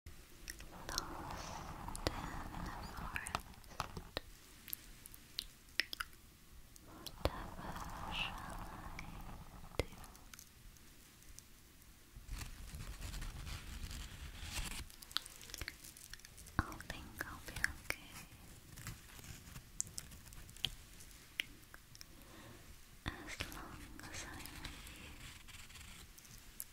Lost in the forest. Whatever shall I do? I think I'll be okay. As long as I'm with you.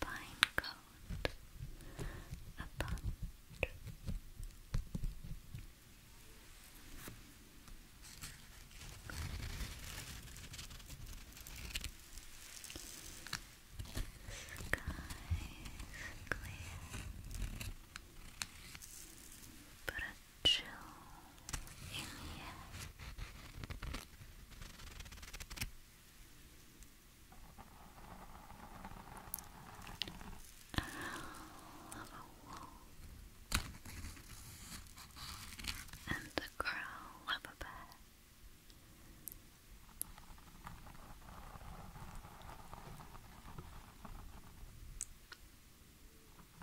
Pine coat upon Sky clear, but chill in here. i a wall and the growl of a bear with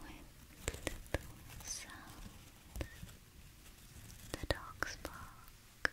little sounds the dogs bark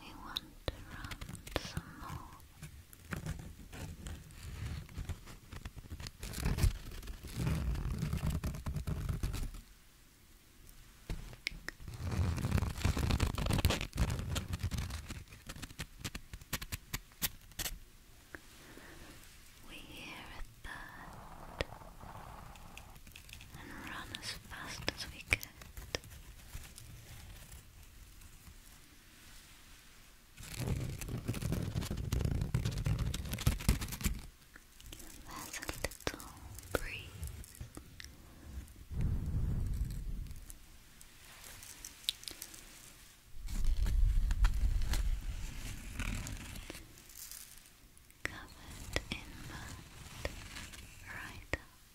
We want to run some more. We hear a third and run as fast as we can. That's a little breeze. Covered in mud right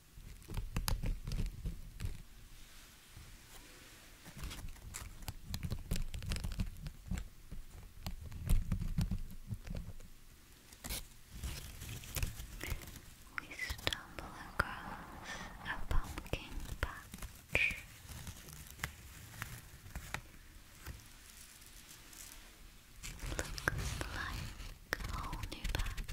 We stumble across a pumpkin patch. Looks like a whole new patch.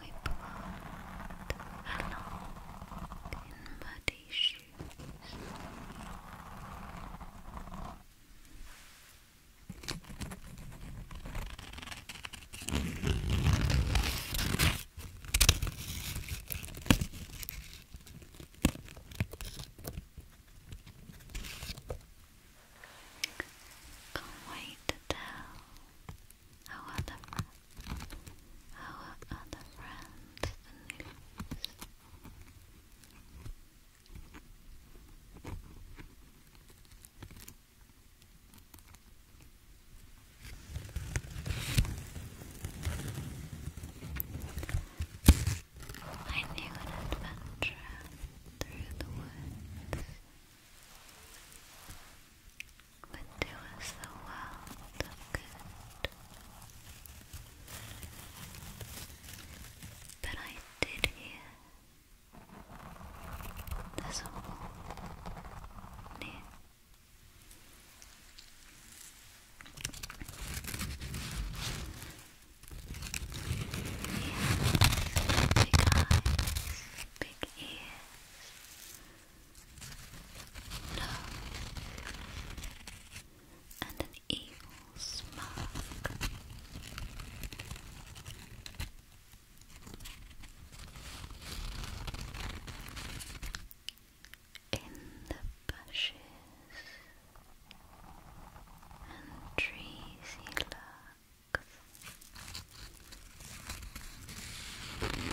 We plant along in shoes. Can't wait to tell our other, our other friends I knew an adventure through the woods would do us the world good. But I did hear だそうね yeah, big eyes, big ears, love, and an evil smirk. In the bushes and trees he lurks. You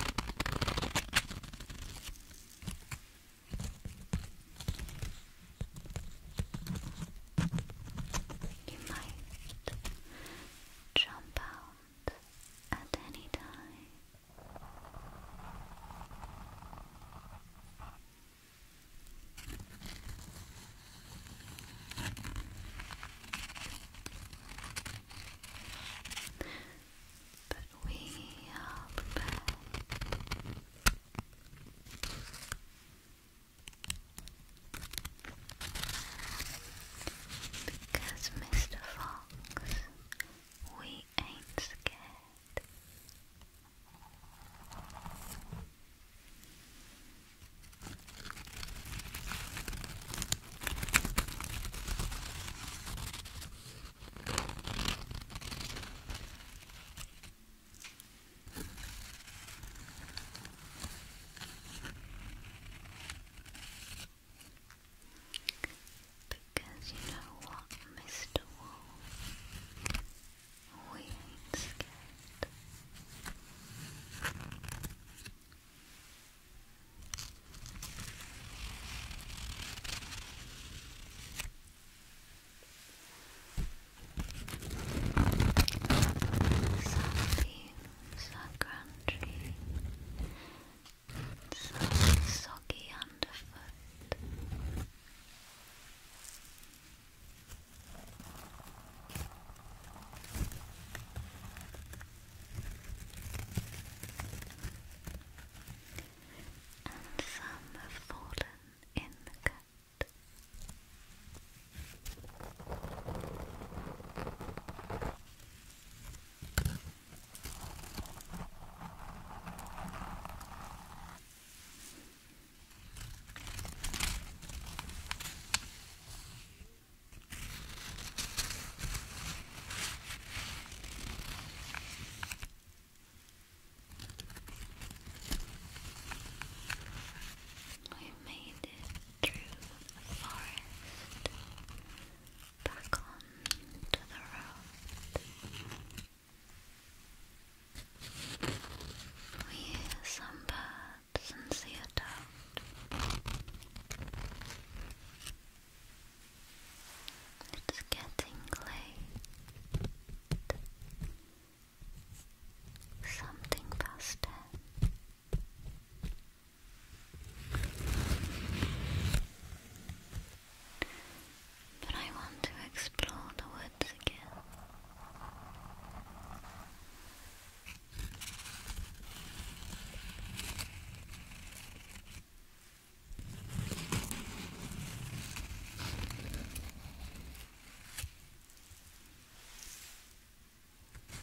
might jump out at any time. But we are prepared. Because, Mr. Fox, we ain't scared. Because you know what, Mr. Wolf? We ain't scared. So you so crunchy, so soggy underfoot. And some have fallen in the cut. We've made it through the forest, back on the road. We hear some birds and see a dog. It's getting late something past ten. But I want to explore the woods again. It's now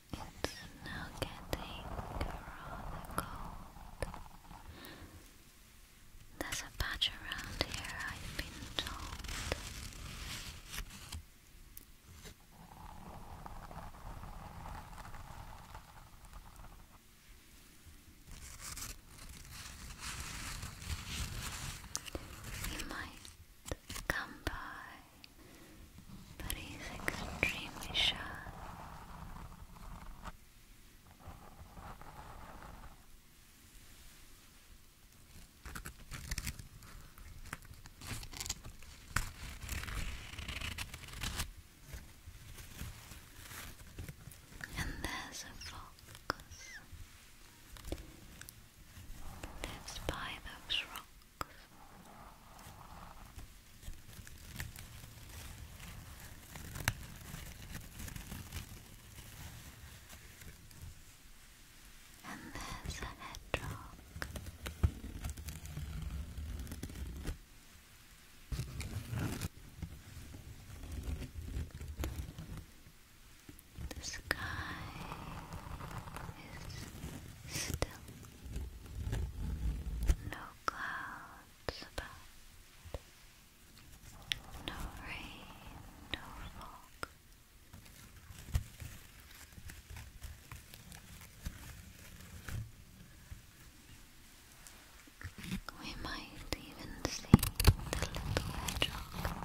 getting rather cold. There's a patch around here, I've been told. He might come by, but he's extremely shy. And there's a fox lives by those rocks. And there's a hedgehog. The sky is still, no clouds clouds about. No rain, no fog. We might even see the little hedgehog.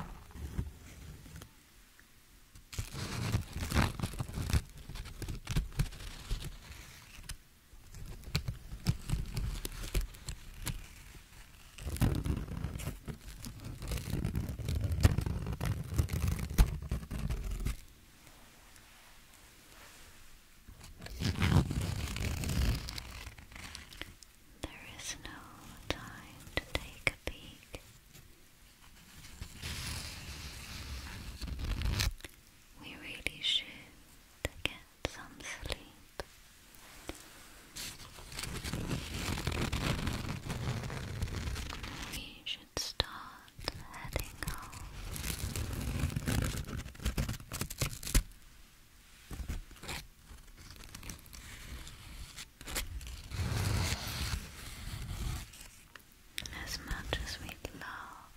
There is no time to take a peek we really should get some sleep. We should start heading home as much as we love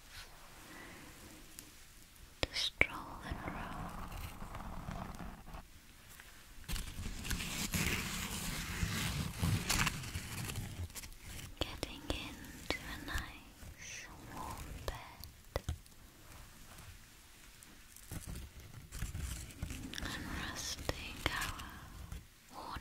to stroll and roam, getting into a nice warm bed and resting our worn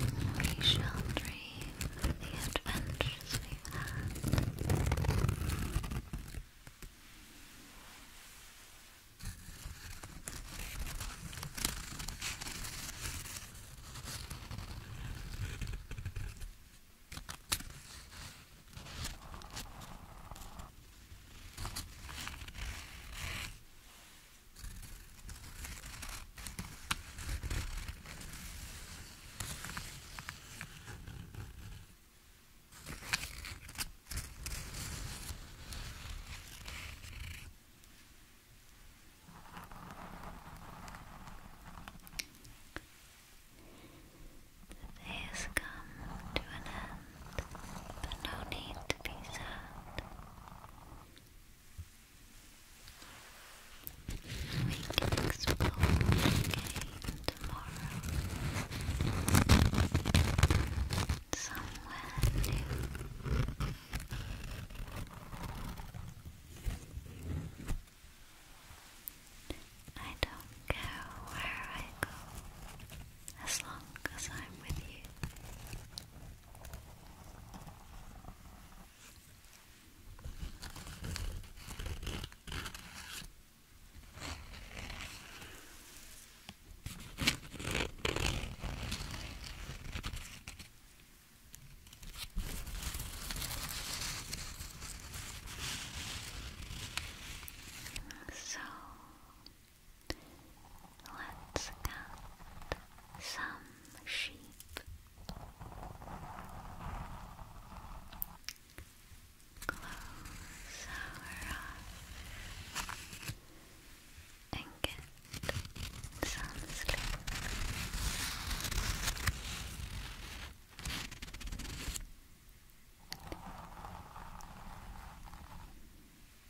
We shall dream of the adventures we've this has come to an end. But no need to be sad. We can explore again tomorrow. Somewhere new. I don't care where I go as long as I'm with you. So Let's count some sheep. Close our and get some sleep.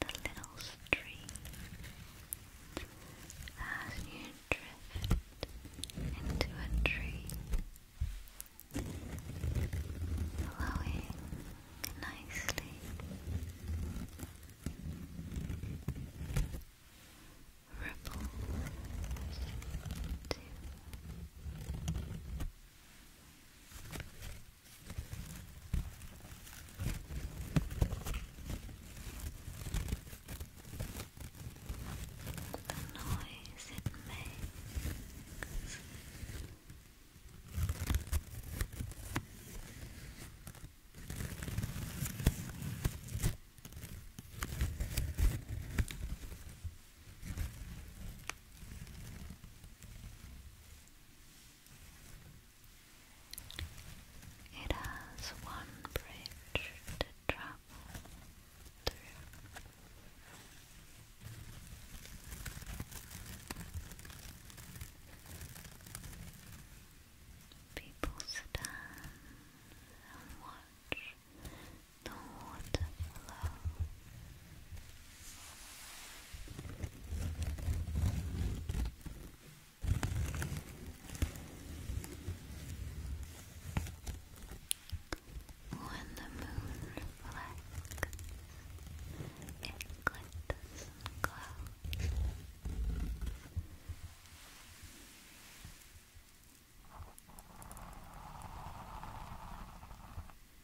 the little stream as you drift into a tree, flowing nicely. Ripples too. The noise it makes. It has one bridge to travel through. People stand and watch the water flow. When the moon reflects, it glitters and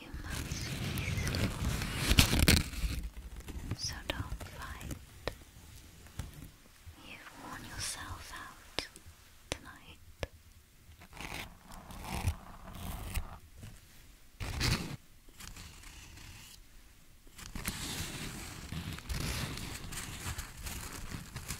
You must be strong, so don't fight. You've worn yourself out tonight.